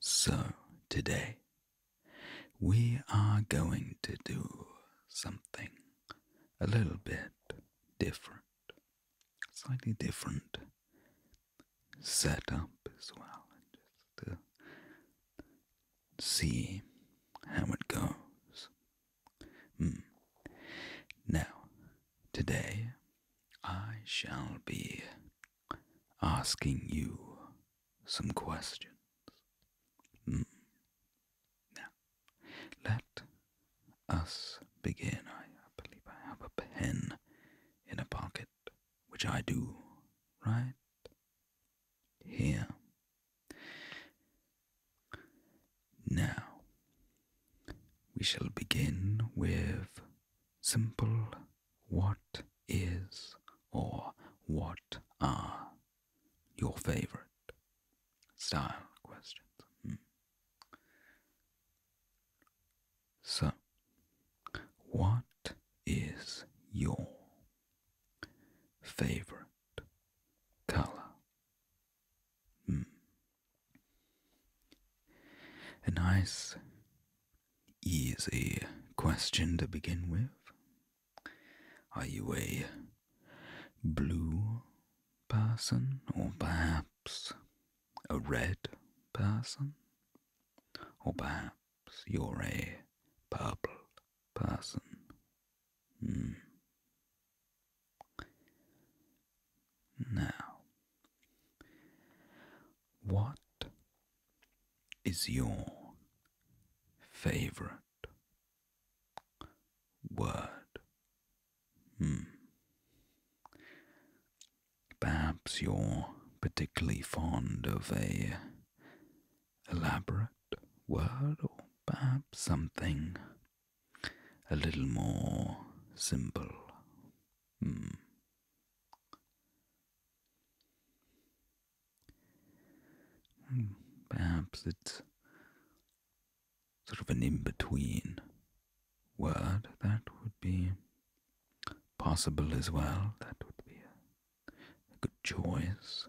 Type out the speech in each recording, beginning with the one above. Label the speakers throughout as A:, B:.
A: So, today we are going to do something a little bit different, slightly different setup as well, just to see how it goes. Hmm. Now, today I shall be asking you some questions. Hmm. Now, let us begin. I believe I have a pen in a pocket, which I do, right? Here. Now, we shall begin with simple what is or what are your favorite style questions? Hmm. So, what is your favorite color? Hmm. A nice, easy question to begin with. Are you a blue person or perhaps a red person? Or perhaps you're a purple person? Hmm. Now, what is your favorite word? Hmm. Perhaps you're particularly fond of a elaborate word, or perhaps something a little more simple. Hmm. Perhaps it's sort of an in between word that would be possible as well. That would be a, good choice.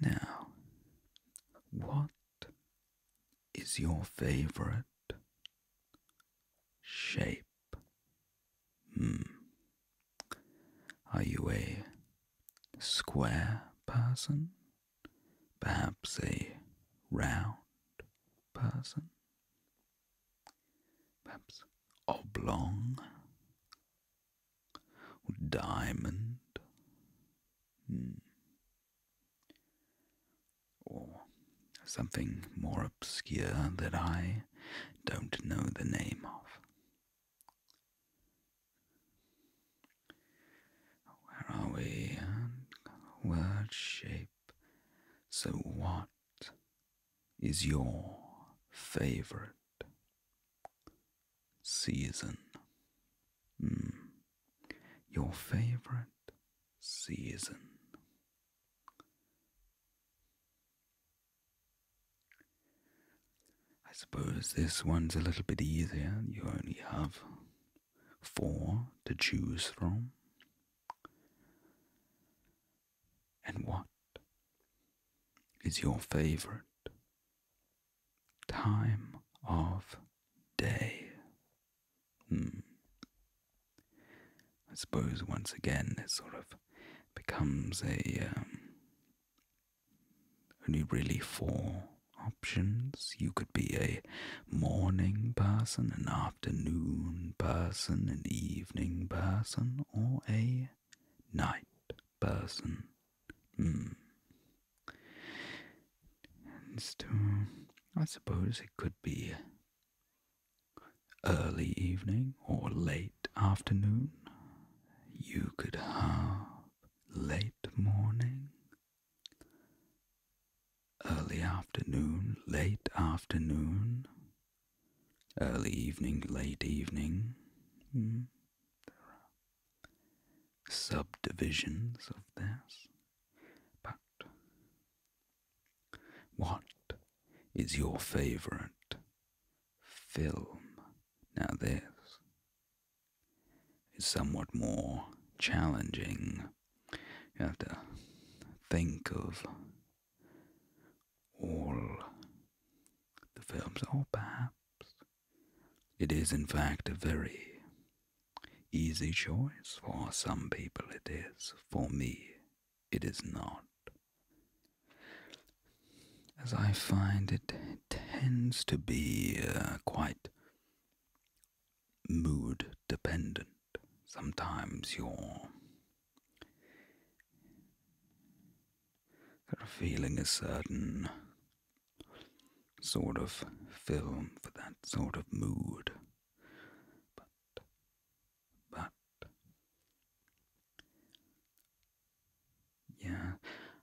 A: Now, what is your favorite shape? Hmm. Are you a square person? Perhaps a round person? Perhaps oblong? Diamond? Hmm. Or something more obscure that I don't know the name of. Where are we? Word shape. So, what is your favorite season? Hmm your favorite season. I suppose this one's a little bit easier. You only have four to choose from. And what is your favorite time of day? Hmm. I suppose once again it sort of becomes a um, only really four options. You could be a morning person, an afternoon person, an evening person, or a night person. Hmm. And uh, I suppose it could be early evening or late afternoon. You could have late morning, early afternoon, late afternoon, early evening, late evening. Hmm. There are subdivisions of this, but what is your favorite film? Now, this is somewhat more challenging. You have to think of all the films, or oh, perhaps it is, in fact, a very Easy choice for some people it is, for me it is not. As I find it tends to be uh, quite mood dependent. Sometimes you're feeling a certain sort of film for that sort of mood but, but, yeah,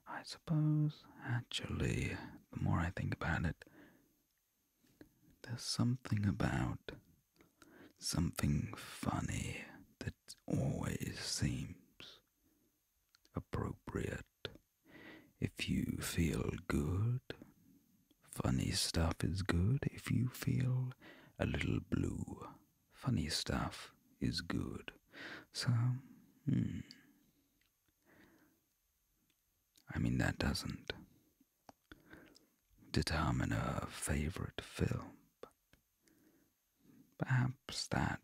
A: I suppose, actually, the more I think about it, there's something about something funny that always seems appropriate if you feel good, funny stuff is good. If you feel a little blue, funny stuff is good. So, hmm. I mean, that doesn't determine a favorite film, but perhaps that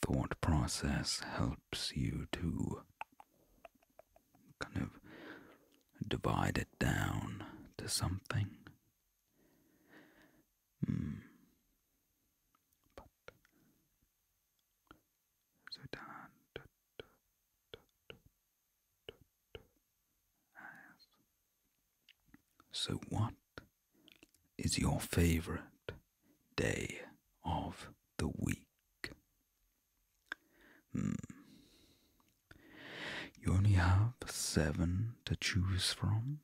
A: thought process helps you too kind of divide it down to something. so down. So, what is your favorite day of the week? Hmm. You only have seven to choose from?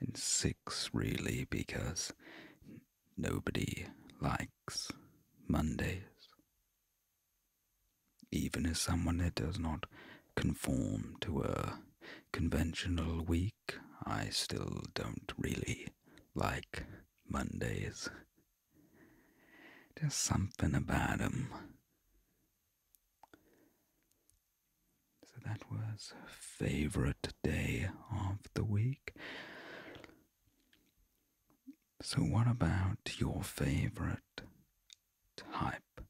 A: And six, really, because nobody likes Mondays. Even as someone that does not conform to a conventional week, I still don't really like Mondays. There's something about 'em. So that was favorite day of the week. So, what about your favorite type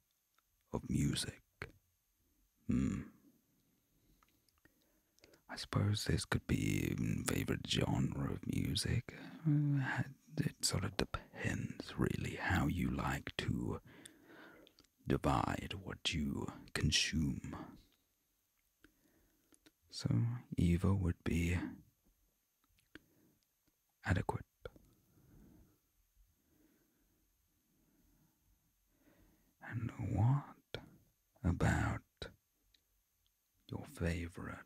A: of music? Hmm. I suppose this could be favorite genre of music. Uh, it sort of depends, really, how you like to divide what you consume. So, evil would be adequate. And what about your favorite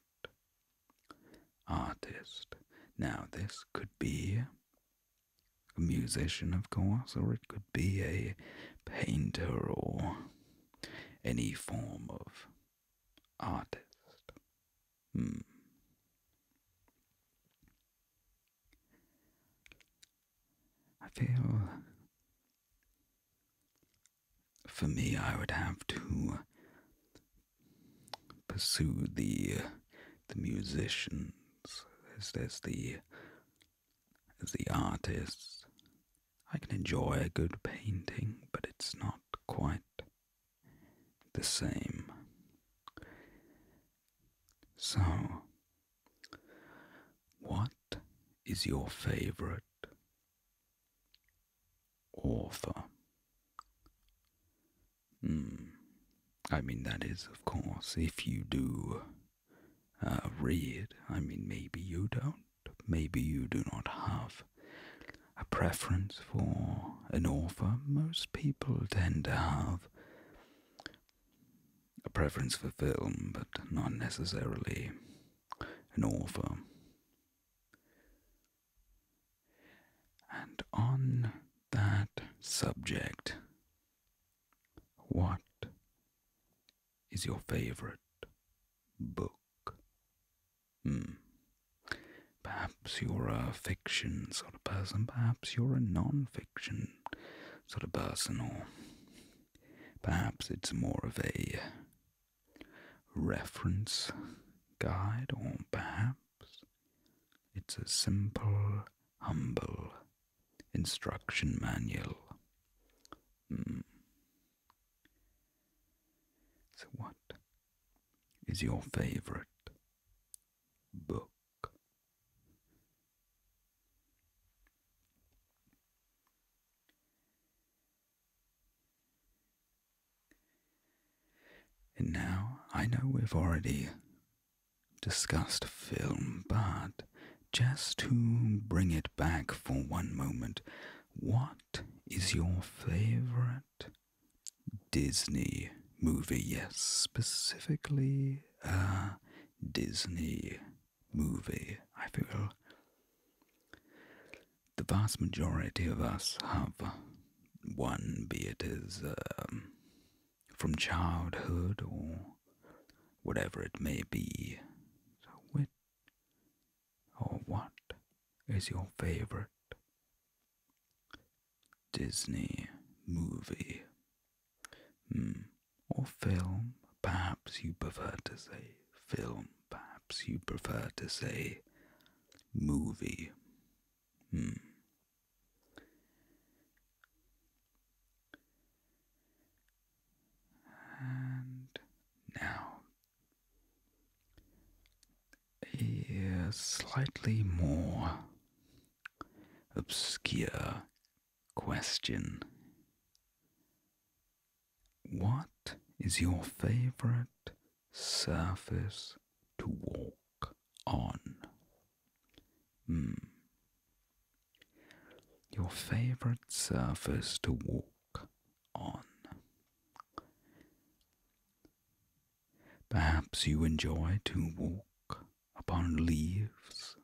A: artist. Now, this could be a musician, of course, or it could be a painter or any form of artist. Hmm. I feel for me, I would have to pursue the the musicians as, as the the artists. I can enjoy a good painting, but it's not quite the same. So, what is your favorite author? Hmm. I mean, that is, of course, if you do uh, read. I mean, maybe you don't. Maybe you do not have a preference for an author. Most people tend to have a preference for film, but not necessarily an author. And on that subject, what is your favorite book? Hmm. Perhaps you're a fiction sort of person, perhaps you're a non fiction sort of person, or Perhaps it's more of a reference guide, or perhaps it's a simple, humble instruction manual. Mm. So, what is your favorite book? And now I know we've already discussed film, but just to bring it back for one moment, what is your favorite Disney movie? Yes, specifically a uh, Disney movie, I feel. The vast majority of us have one, be it is um, from childhood or whatever it may be. So, which or what is your favorite Disney movie? Hmm or film, perhaps you prefer to say film, perhaps you prefer to say movie. Hmm. And now, a slightly more obscure question. What is your favorite surface to walk on? Hmm. Your favorite surface to walk on. Perhaps you enjoy to walk upon leaves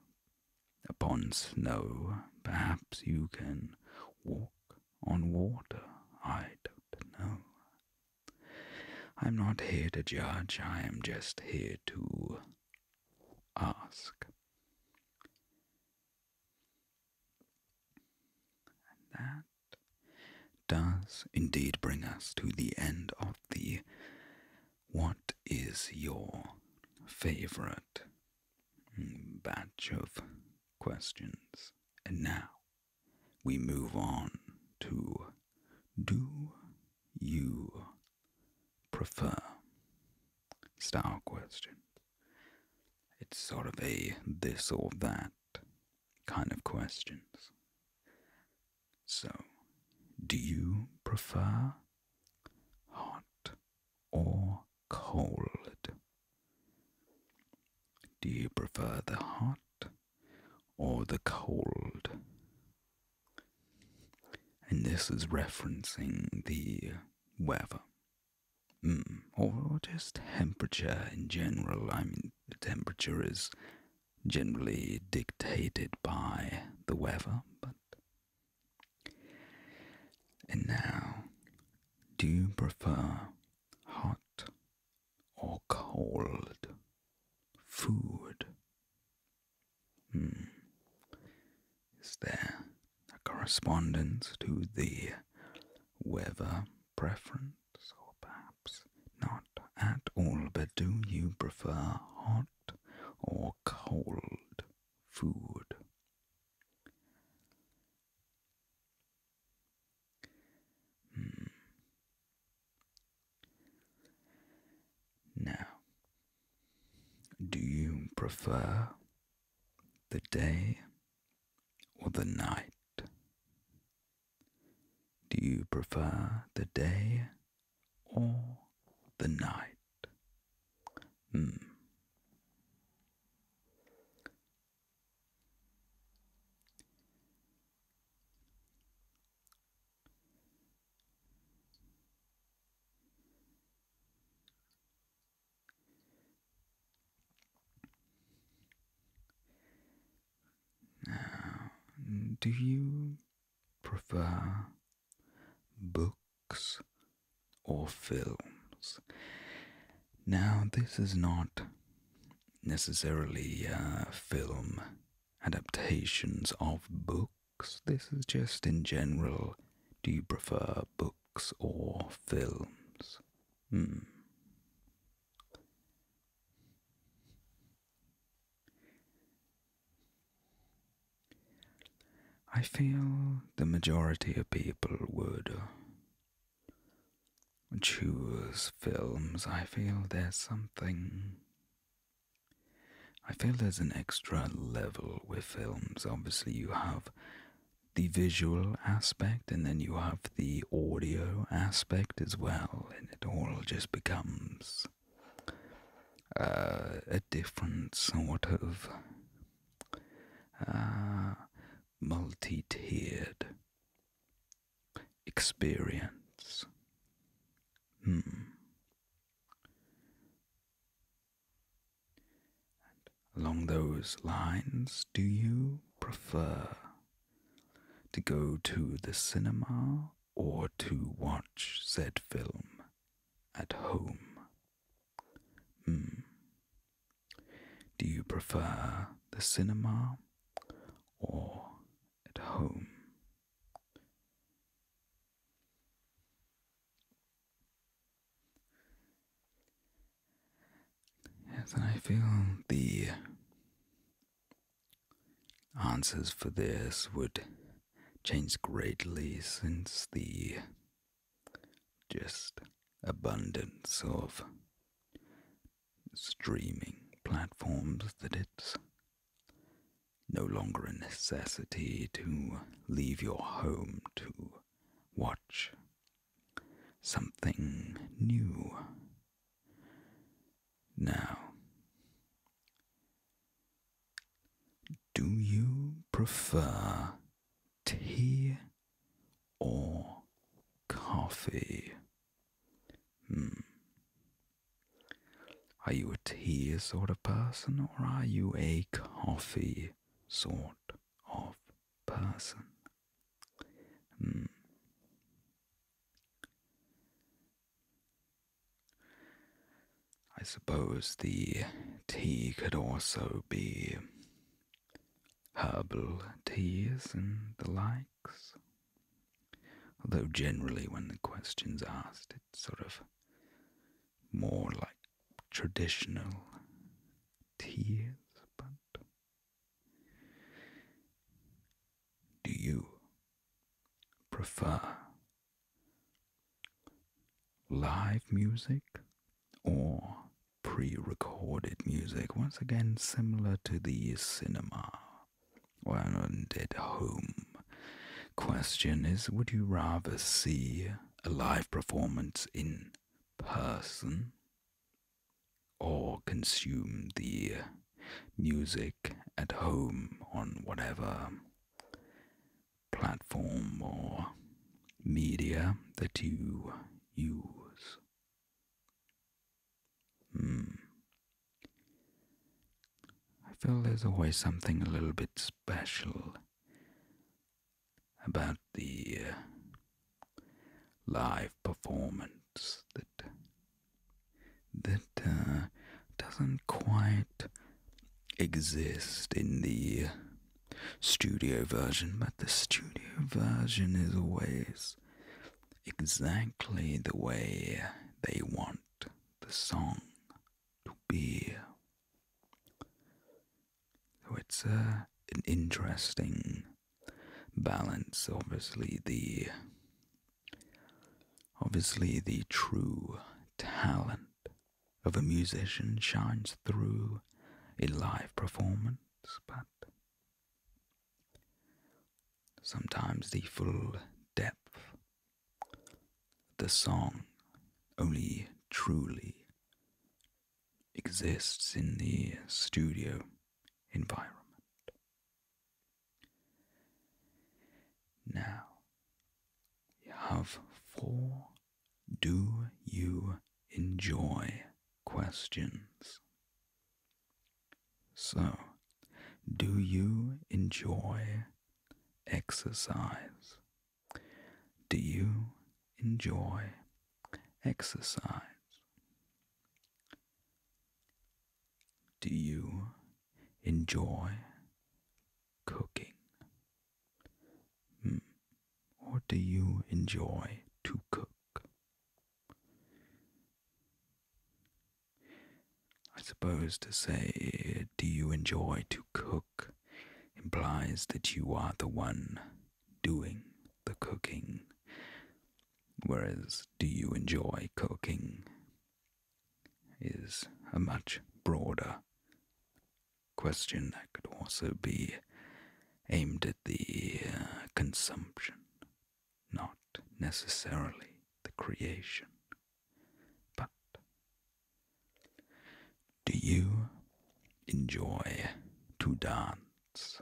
A: Upon snow, perhaps you can walk on water. I don't know. I'm not here to judge, I am just here to ask. that does indeed bring us to the end of the What is your favorite Mm, batch of questions. And now we move on to do you prefer style question? It's sort of a this or that kind of questions. So, do you prefer hot or cold? Do you prefer the hot or the cold? And this is referencing the weather. Hmm. Or just temperature in general. I mean, the temperature is generally dictated by the weather, but and now, do you prefer hot or cold food? Hmm. Is there a correspondence to the weather preference, or perhaps not at all? But do you prefer hot or cold food? Hmm. Now, do you prefer the day or the night? Do you prefer the day or the night? Hmm. do you prefer books, or films. Now, this is not necessarily uh, film adaptations of books, this is just in general do you prefer books or films? Hmm. I feel the majority of people would uh, choose films. I feel there's something. I feel there's an extra level with films. Obviously, you have the visual aspect and then you have the audio aspect as well, and it all just becomes uh, a different sort of uh, multi tiered experience. Hmm. along those lines, do you prefer to go to the cinema or to watch said film at home? Hmm. Do you prefer the cinema or at home? As I feel the answers for this would change greatly since the just abundance of streaming platforms that it's no longer a necessity to leave your home to watch something new. Now, do you prefer tea or coffee? Hmm. Are you a tea sort of person or are you a coffee sort of person? Hmm. I suppose the tea could also be herbal teas and the likes. Although, generally, when the question's asked, it's sort of more like traditional teas, but do you prefer live music or pre recorded music, once again, similar to the cinema or at home. Question is Would you rather see a live performance in person or consume the music at home on whatever platform or media that you use. Hmm. I feel there's always something a little bit special about the uh, live performance that that uh, doesn't quite exist in the uh, studio version, but the studio version is always exactly the way they want the song to be. So it's uh, an interesting balance. Obviously, the obviously the true talent of a musician shines through a live performance, but sometimes the full depth the song only truly exists in the studio environment. Now, you have four do you enjoy questions? So, do you enjoy exercise? Do you enjoy exercise? Do you enjoy cooking? Hmm. What do you enjoy to cook? I suppose to say, do you enjoy to cook implies that you are the one doing the cooking, whereas do you enjoy cooking is a much broader question that could also be aimed at the uh, consumption, not necessarily the creation. But do you enjoy to dance?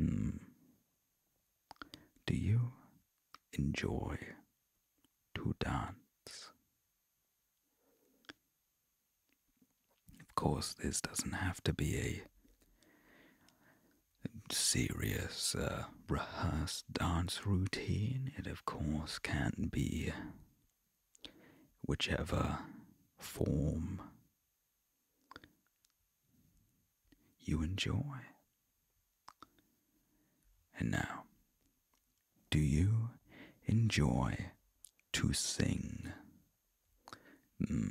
A: Mm. Do you enjoy to dance? Of course, this doesn't have to be a serious uh, rehearsed dance routine. It, of course, can be whichever form you enjoy. And now, do you enjoy to sing? Hmm.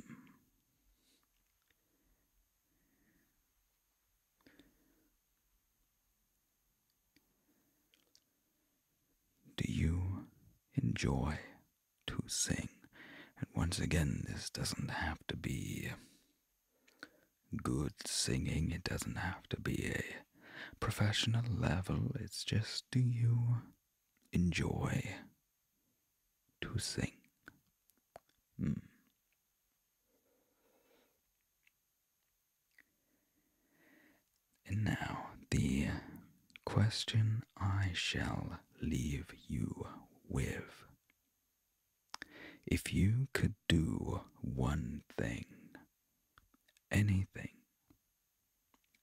A: Do you enjoy to sing? And once again, this doesn't have to be good singing, it doesn't have to be a professional level. It's just do you enjoy to sing? Hmm. And now, the question I shall leave you with. If you could do one thing, anything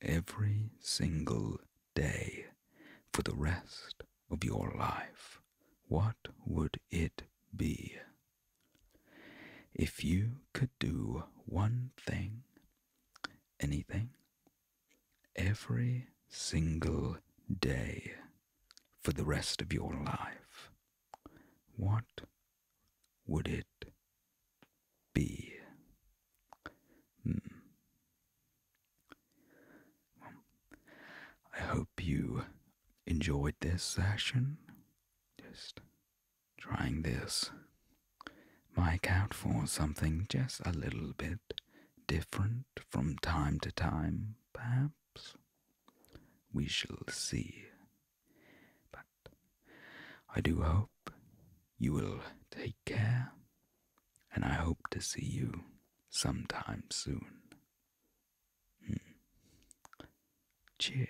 A: every single day for the rest of your life, what would it be? If you could do one thing, anything, every single day for the rest of your life, what would it be? Hmm. Um, I hope you enjoyed this session. Just trying this mic out for something just a little bit different from time to time, perhaps. We shall see. But I do hope you will take care, and I hope to see you sometime soon. Hmm. Cheers.